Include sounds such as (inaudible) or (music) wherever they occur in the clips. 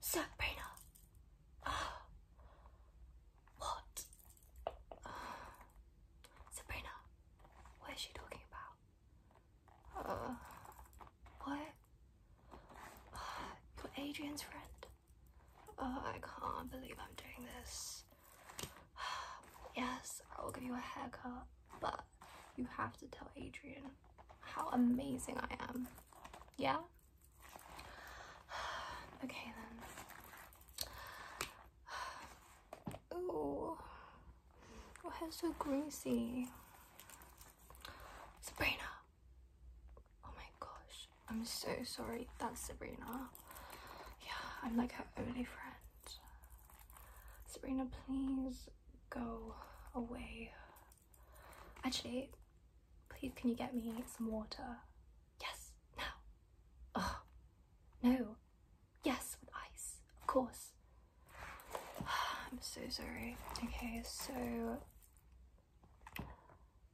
Sabrina. Oh. (gasps) What? Oh. Sabrina. What is she talking about? Uh, what? you're Adrian's friend. Oh, I can't believe I'm doing this. (sighs) yes, I will give you a haircut, but you have to tell Adrian how amazing I am. Yeah? (sighs) okay then. (sighs) Ooh, your hair's so greasy. Sabrina. Oh my gosh, I'm so sorry. That's Sabrina. Yeah, I'm like her only friend. Sabrina, please go away. Actually, please can you get me some water? Yes, No. Oh, no. Yes, with ice, of course. (sighs) I'm so sorry. Okay, so. (sighs)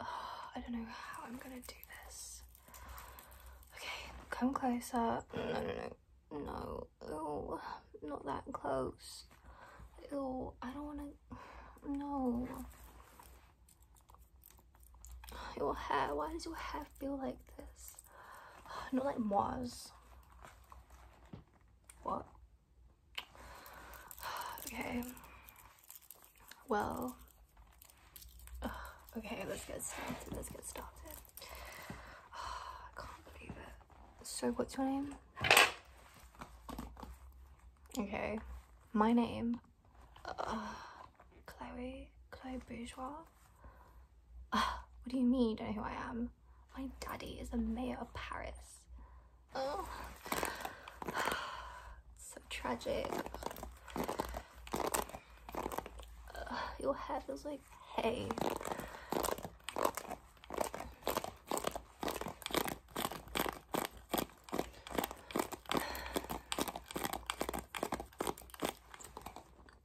I don't know how I'm gonna do this. Okay, come closer. No, no, no. No, not that close. Oh, I don't wanna no. Your hair, why does your hair feel like this? (sighs) Not like Moz. What? (sighs) Okay. Well. (sighs) Okay, let's get started. Let's get started. I can't believe it. So, what's your name? Okay, my name, uh, Chloe, Chloe Bourgeois. Uh, what do you mean? You don't know who I am. My daddy is a mayor of Paris. Oh, (sighs) so tragic. Uh, your hair feels like hay.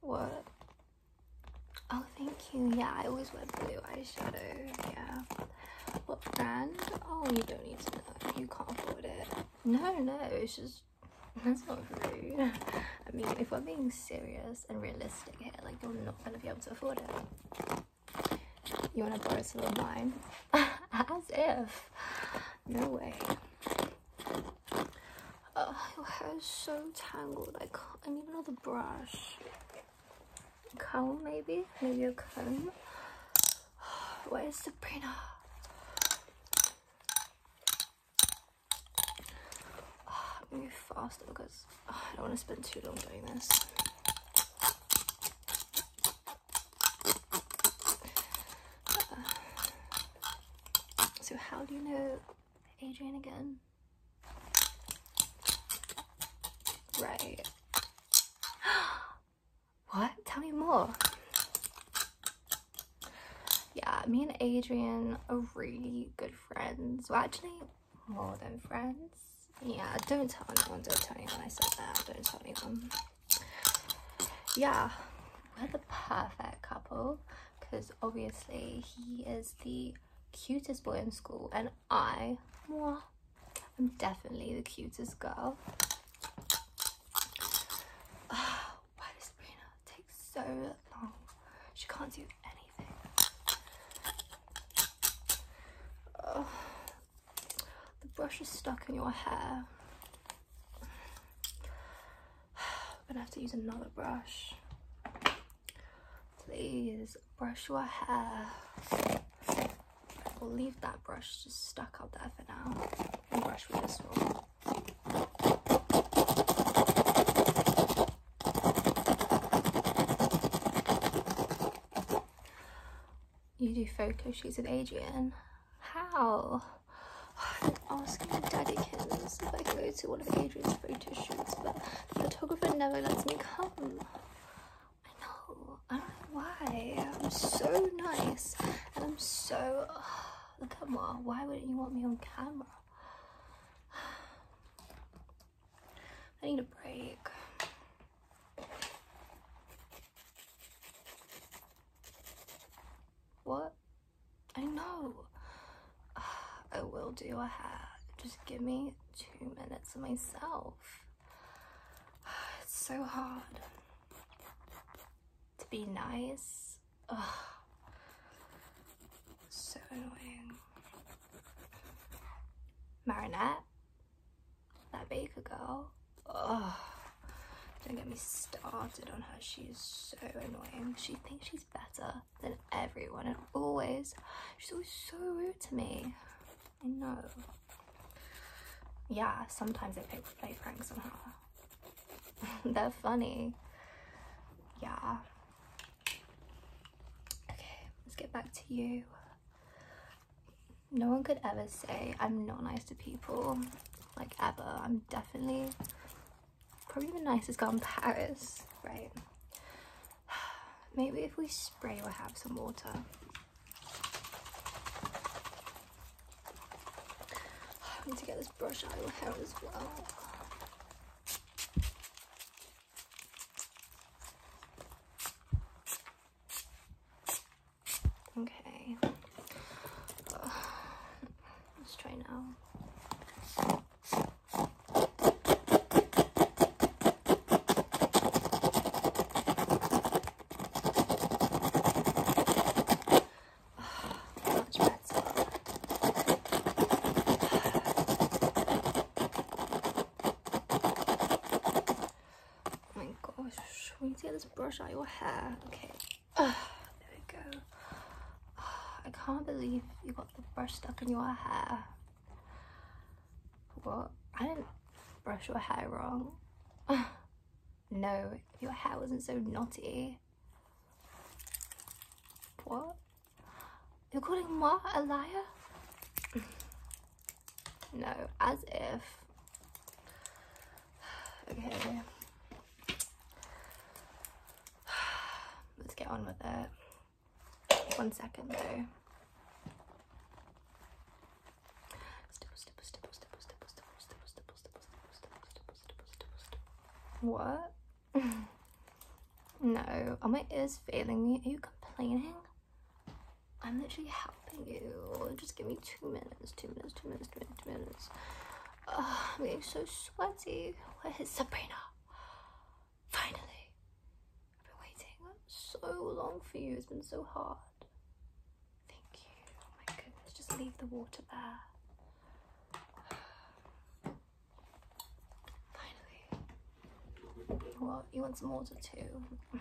What? Oh, thank you. Yeah, I always wear blue eyeshadow. Yeah. What brand? Oh, you don't need to know. You can't afford it. No, no, it's just. (laughs) That's not rude. (laughs) I mean, if I'm being serious and realistic here, like, you're not gonna be able to afford it. You want to borrow some of mine? As if. No way. Oh, your hair is so tangled. I can't. I need another brush. Comb, maybe? Maybe a comb? (sighs) Where is Sabrina? Oh, (sighs) move faster because I don't want to spend too long doing this. so how do you know Adrian again? Right. (gasps) what? Tell me more. Yeah, me and Adrian are really good friends. Well, actually, more than friends. Yeah, don't tell anyone, don't tell anyone I said that, don't tell anyone. Yeah, we're the perfect couple because obviously he is the cutest boy in school and I, mwah, I'm definitely the cutest girl. Ah, why does Sabrina take so long? She can't do anything the brush is stuck in your hair. We're (sighs) gonna have to use another brush. Please brush your hair. We'll leave that brush just stuck up there for now and brush with this one. You do photo shoots with Adrian? How? I'm asking Daddy Kims if I go to one of Adrian's photo shoots, but the photographer never lets me come. I know. I don't know why. I'm so nice and I'm so... (sighs) look at Mom. Why wouldn't you want me on camera? I need a break. What? I know. (sighs) I will do a hat. Just give me two minutes of myself. (sighs) It's so hard to be nice. (sighs) So annoying. Marinette. That baker girl. Ugh. Don't get me started on her. She's so annoying. She thinks she's better than everyone and always, she's always so rude to me. I know. Yeah, sometimes I play, play pranks on her. (laughs) They're funny. Yeah. Okay, let's get back to you no one could ever say I'm not nice to people, like ever. I'm definitely probably the nicest girl in Paris, right? (sighs) Maybe if we spray or have some water. (sighs) I need to get this brush out of my hair as well. Okay. (sighs) let's try now. (sighs) (sighs) Oh my gosh, we get this brush out your hair. Okay, ah, there we go. Ah, I can't believe you got the brush stuck in your hair. What? I didn't brush your hair wrong. Ah, no, your hair wasn't so knotty. What? You're calling moi a liar? no, as if. Okay. Let's get on with it. One second though. What? No, are oh my ears failing me? Are you complaining? I'm literally helping you. Just give me two minutes, two minutes, two minutes, two minutes, two minutes. Oh, I'm getting so sweaty. Where is Sabrina? Finally. I've been waiting so long for you. It's been so hard. Thank you. Oh my goodness, just leave the water there. Finally. Well, you want some water too.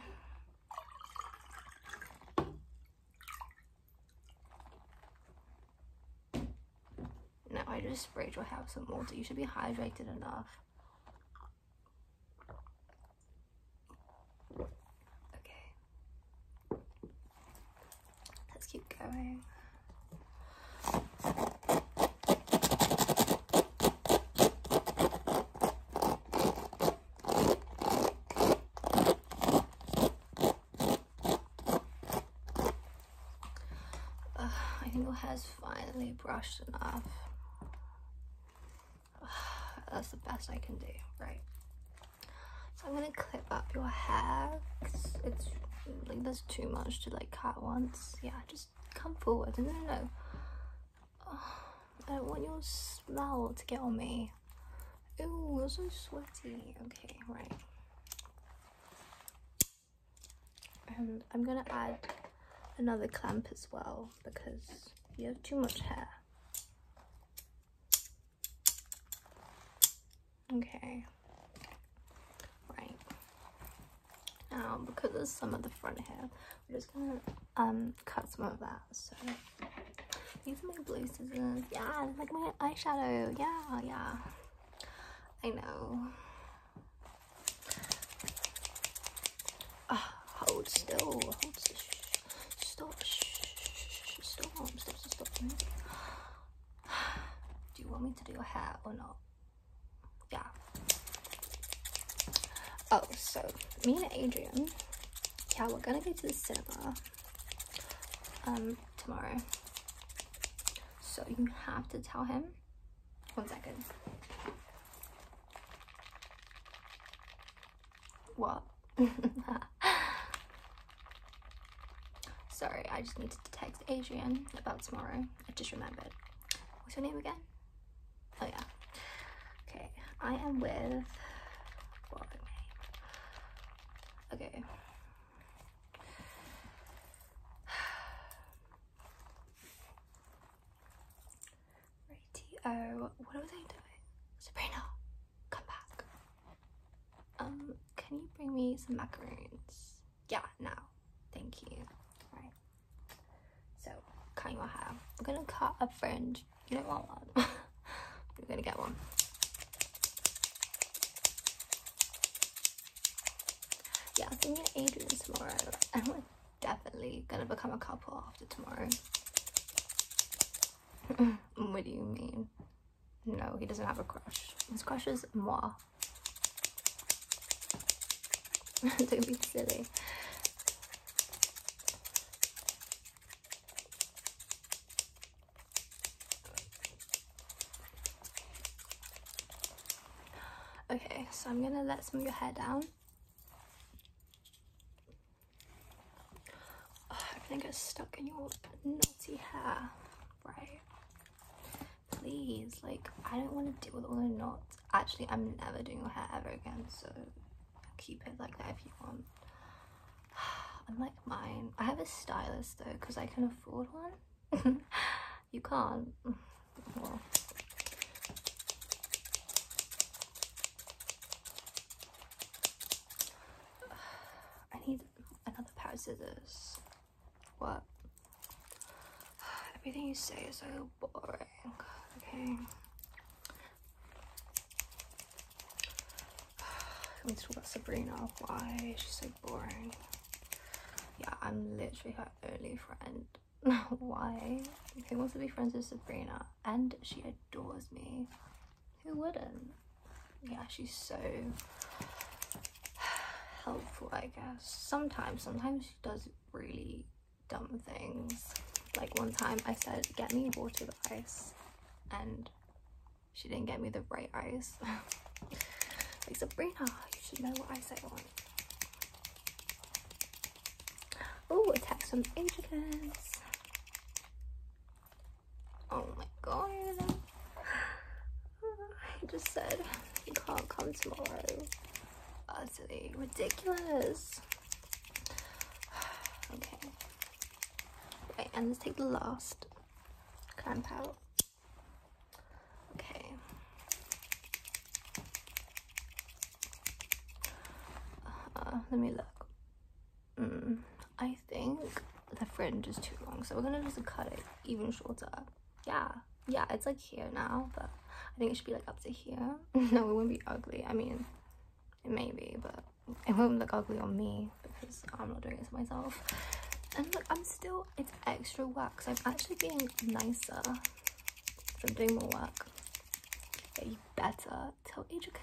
No, I just sprayed your hair with some water. You should be hydrated enough. Okay. Let's keep going. I think it has finally brushed enough. that's the best I can do, right? So I'm gonna clip up your hair. it's like there's too much to like cut once. Yeah, just come forward. No, no, no. Oh, I don't want your smell to get on me. Ooh, you're so sweaty. Okay, right. And um, I'm gonna add another clamp as well because you have too much hair. Okay. Right um, because there's some of the front hair, I'm just gonna um, cut some of that. So these are my blue scissors. Yeah, like my eyeshadow. Yeah, yeah. I know. Ah, hold still. Hold still. Stop. Stop. Stop. Stop. Stop. (sighs) Do you want me to do your hair or not? yeah. Oh, so me and Adrian, yeah, we're gonna go to the cinema um tomorrow. So you have to tell him. One second. What? (laughs) Sorry, I just need to text Adrian about tomorrow. I just remembered. What's your name again? Oh yeah. Okay, I am with Okay. Radio. What was I doing? Sabrina, come back. Um, can you bring me some macaroons? yeah, now. Thank you. Right. So, cut your hair. I'm gonna cut a fringe. You don't want one. You're gonna get one. Yeah, I'm thinking Adrian tomorrow. And (laughs) we're definitely gonna become a couple after tomorrow. (laughs) what do you mean? No, he doesn't have a crush. His crush is moi. (laughs) Don't be silly. Okay, so I'm gonna let some of your hair down. everything gets stuck in your naughty hair. Right please like i don't want to deal with all the knots actually i'm never doing your hair ever again so keep it like that if you want (sighs) like mine i have a stylist though because i can afford one (laughs) you can't (sighs) (sighs) i need another pair of scissors what? Everything you say is so boring. Okay. Let me talk about Sabrina. Why she's so boring. Yeah, I'm literally her only friend. (laughs) Why? Who wants to be friends with Sabrina? And she adores me. Who wouldn't? Yeah, she's so (sighs) helpful, I guess. Sometimes, sometimes does really dumb things. Like one time I said, get me water with ice and she didn't get me the right ice. (laughs) like Sabrina, you should know what ice I want. Oh, a text agents! Oh my god. I (sighs) just said, you can't come tomorrow utterly ridiculous. (sighs) okay. Right, and let's take the last clamp out. Okay. Uh, let me look. Mm, I think the fringe is too long, so we're gonna just cut it even shorter yeah yeah it's like here now but i think it should be like up to here (laughs) no it wouldn't be ugly i mean it may be but it would not look ugly on me because i'm not doing it to myself and look i'm still it's extra work so i'm actually being nicer so i'm doing more work get you better tell agents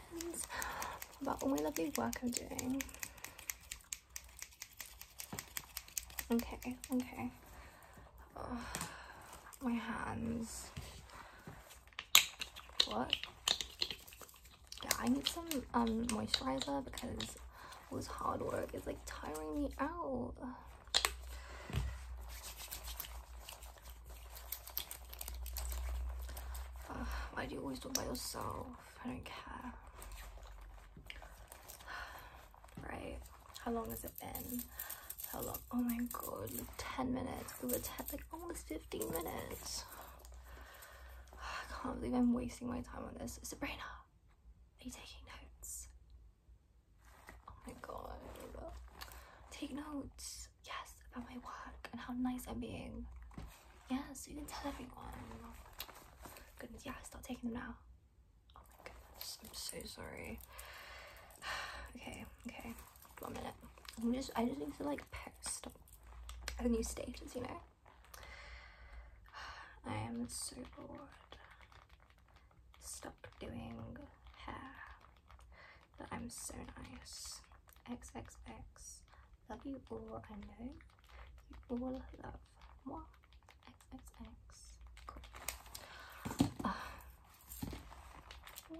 about all my lovely work i'm doing Okay, okay. my hands. What? Yeah, I need some um moisturizer because all this hard work is like tiring me out. why do you always do it by yourself? I don't care right? How long has it been? How long? Oh my god, 10 minutes. It was 10, like almost 15 minutes. (sighs) I can't believe I'm wasting my time on this. Sabrina, are you taking notes? Oh my god. Take notes. Yes, about my work and how nice I'm being. Yes, you can tell everyone. Goodness, yeah, start taking them now. Oh my goodness, I'm so sorry. (sighs) okay, okay, one minute. I'm just, I just need to like post a new status, you know? (sighs) I am so bored. Stop doing hair. But I'm so nice. XXX. Love you all, I know. You all love moi. XXX.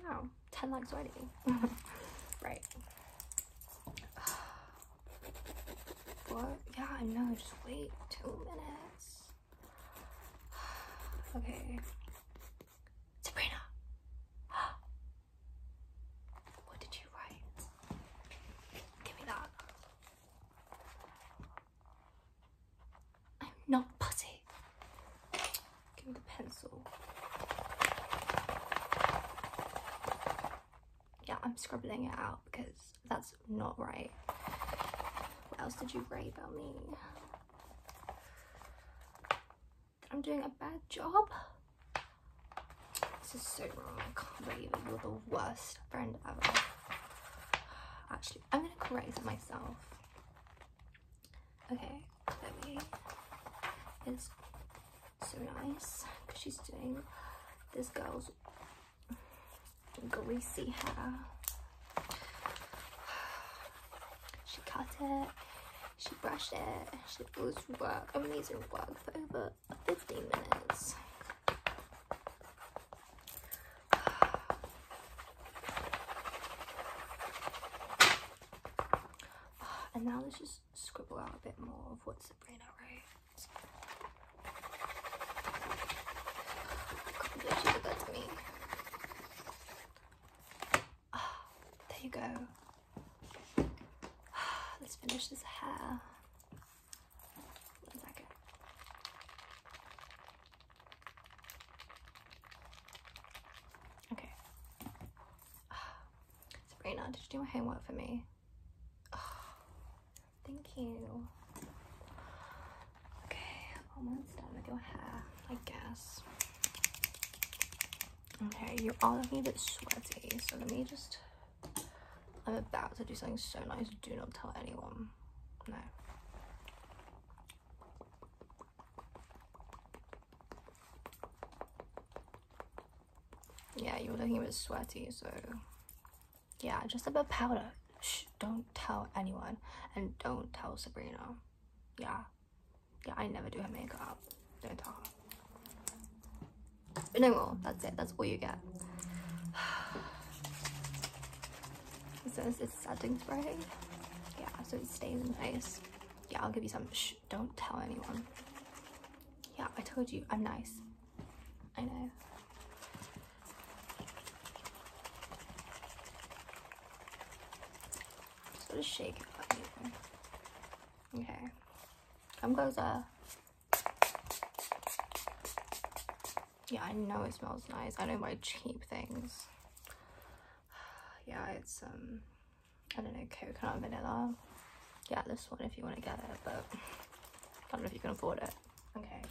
wow, 10 likes already. (laughs) right. what? Yeah, I know, just wait two minutes. (sighs) okay. Sabrina! (gasps) what did you write? Give me that. I'm not putty. Give me the pencil. Yeah, I'm scribbling it out because that's not right. What else did you write about me? I'm doing a bad job? This is so wrong. I can't believe You're the worst friend ever. Actually, I'm gonna correct myself. Okay, Chloe is so nice because she's doing this girl's greasy hair. She cut it, she brushed it, she was work, amazing work for over 15 minutes. (sighs) and now let's just scribble out a bit more of what Sabrina writes. God, she did me. Uh, (sighs) there you go. (sighs) let's finish this hair. Okay. (sighs) Sabrina, did you do my homework for me? (sighs) thank you. Okay, almost done with your hair, I guess. Okay, you all look a bit sweaty, so let me just I'm about to do something so nice. Do not tell anyone. No. Yeah, you are looking a bit sweaty, so yeah, just a bit powder. Shh, don't tell anyone, and don't tell Sabrina. Yeah, yeah, I never do her makeup. Don't tell her. No more. That's it. That's all you get. This is it's setting spray. Yeah, so it stays in place. Yeah, I'll give you some. Shh, don't tell anyone. Yeah, I told you, I'm nice. I know. So Just shake it up. Okay. Come closer. Yeah, I know it smells nice. I know not buy cheap things. (sighs) Yeah, it's, um, I don't know, coconut vanilla. Yeah, this one if you want to get it, but I don't know if you can afford it. Okay.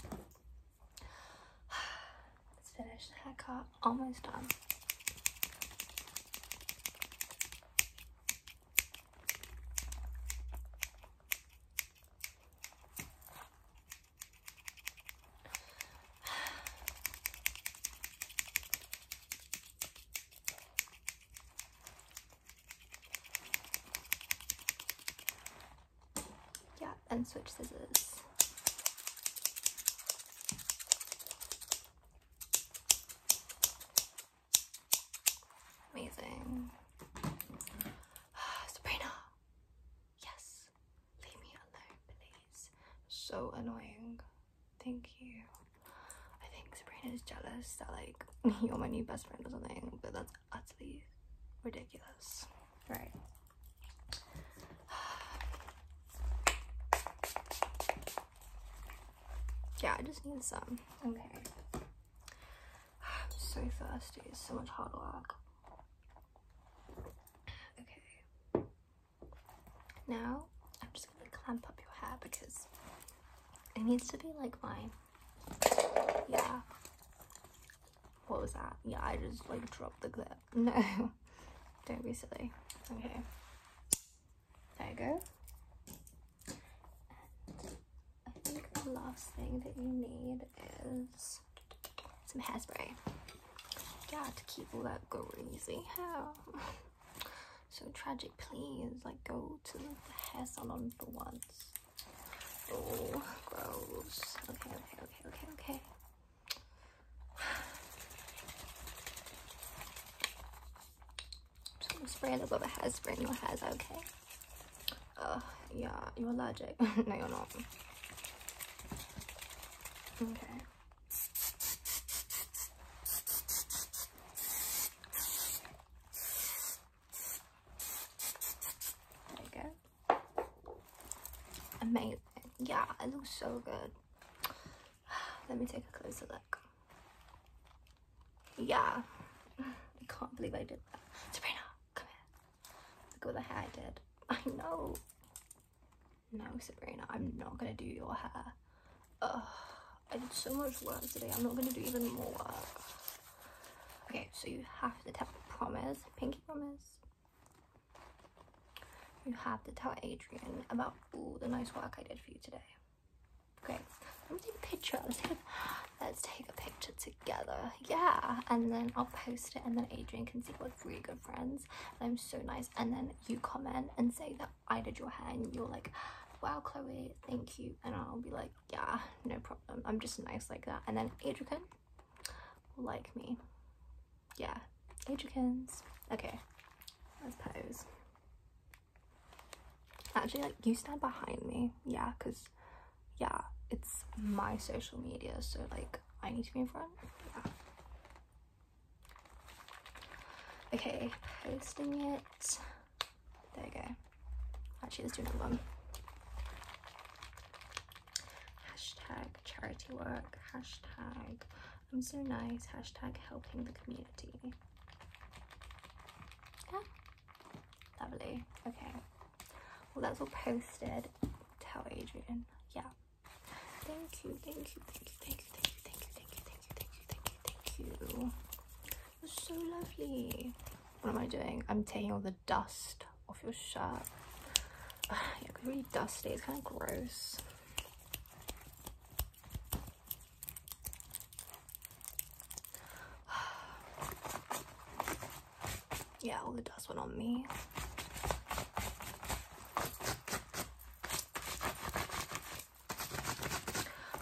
Let's (sighs) finish the haircut. Almost done yeah, and switch scissors. Amazing. (sighs) Sabrina, Yes, leave me alone, please. So annoying. Thank you. I think Sabrina is jealous that like (laughs) you're my new best friend or something, but that's utterly ridiculous. Right. (sighs) yeah, I just need some. Okay. I'm (sighs) so thirsty. It's so much hard work. Okay. Now, I'm just going to clamp up your hair because it needs to be like mine. Yeah. What was that? Yeah, I just like dropped the clip. (laughs) No. Don't be silly. Okay. There you go. I think the last thing that you need is some hairspray. Got to keep all that greasy hair. so tragic, please. Like, go to the hair salon for once. Oh, gross. Okay, okay, okay, okay, okay. spray a bit of hairspray in your hair, okay? Oh yeah, you're allergic. (laughs) no, you're not. Okay. There you go. Amazing. Yeah, it looks so good. (sighs) Let me take a closer look. Yeah. (laughs) I can't believe I did that. Sabrina, come here. Look at the hair I did. (laughs) I know. No, Sabrina, I'm not gonna do your hair. I did so much work today. I'm not gonna do even more work. Okay, so you have to tell promise, pinky promise. You have to tell Adrian about all the nice work I did for you today. Okay, let me take a picture. (laughs) Let's take let's take a picture together yeah and then i'll post it and then adrian can see we're really good friends and i'm so nice and then you comment and say that i did your hair and you're like wow chloe thank you and i'll be like yeah no problem i'm just nice like that and then adrian will like me yeah adrian's okay let's pose actually like you stand behind me yeah because yeah, it's my social media, so like I need to be in front. Yeah. Okay, posting it. There we go. Actually, let's do another one. Hashtag charity work. Hashtag I'm so nice. Hashtag helping the community. Lovely. Okay. Well, that's all posted. Tell Adrian. Yeah. Thank you. Thank you. Thank you. Thank you. Thank you. Thank you. Thank you. Thank you. Thank you. Thank you. You're so lovely. What am I doing? I'm taking all the dust off your shirt. Ugh, yeah, it's really dusty. It's kind of gross. (sighs) yeah, all the dust went on me.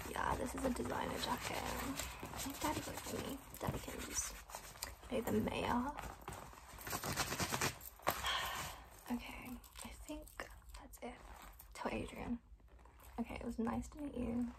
Yeah, this is a designer jacket. I think Daddy got me. Daddy can use. Okay, the mayor. (sighs) Okay, I think that's it. Tell Adrian. Okay, it was nice to meet you.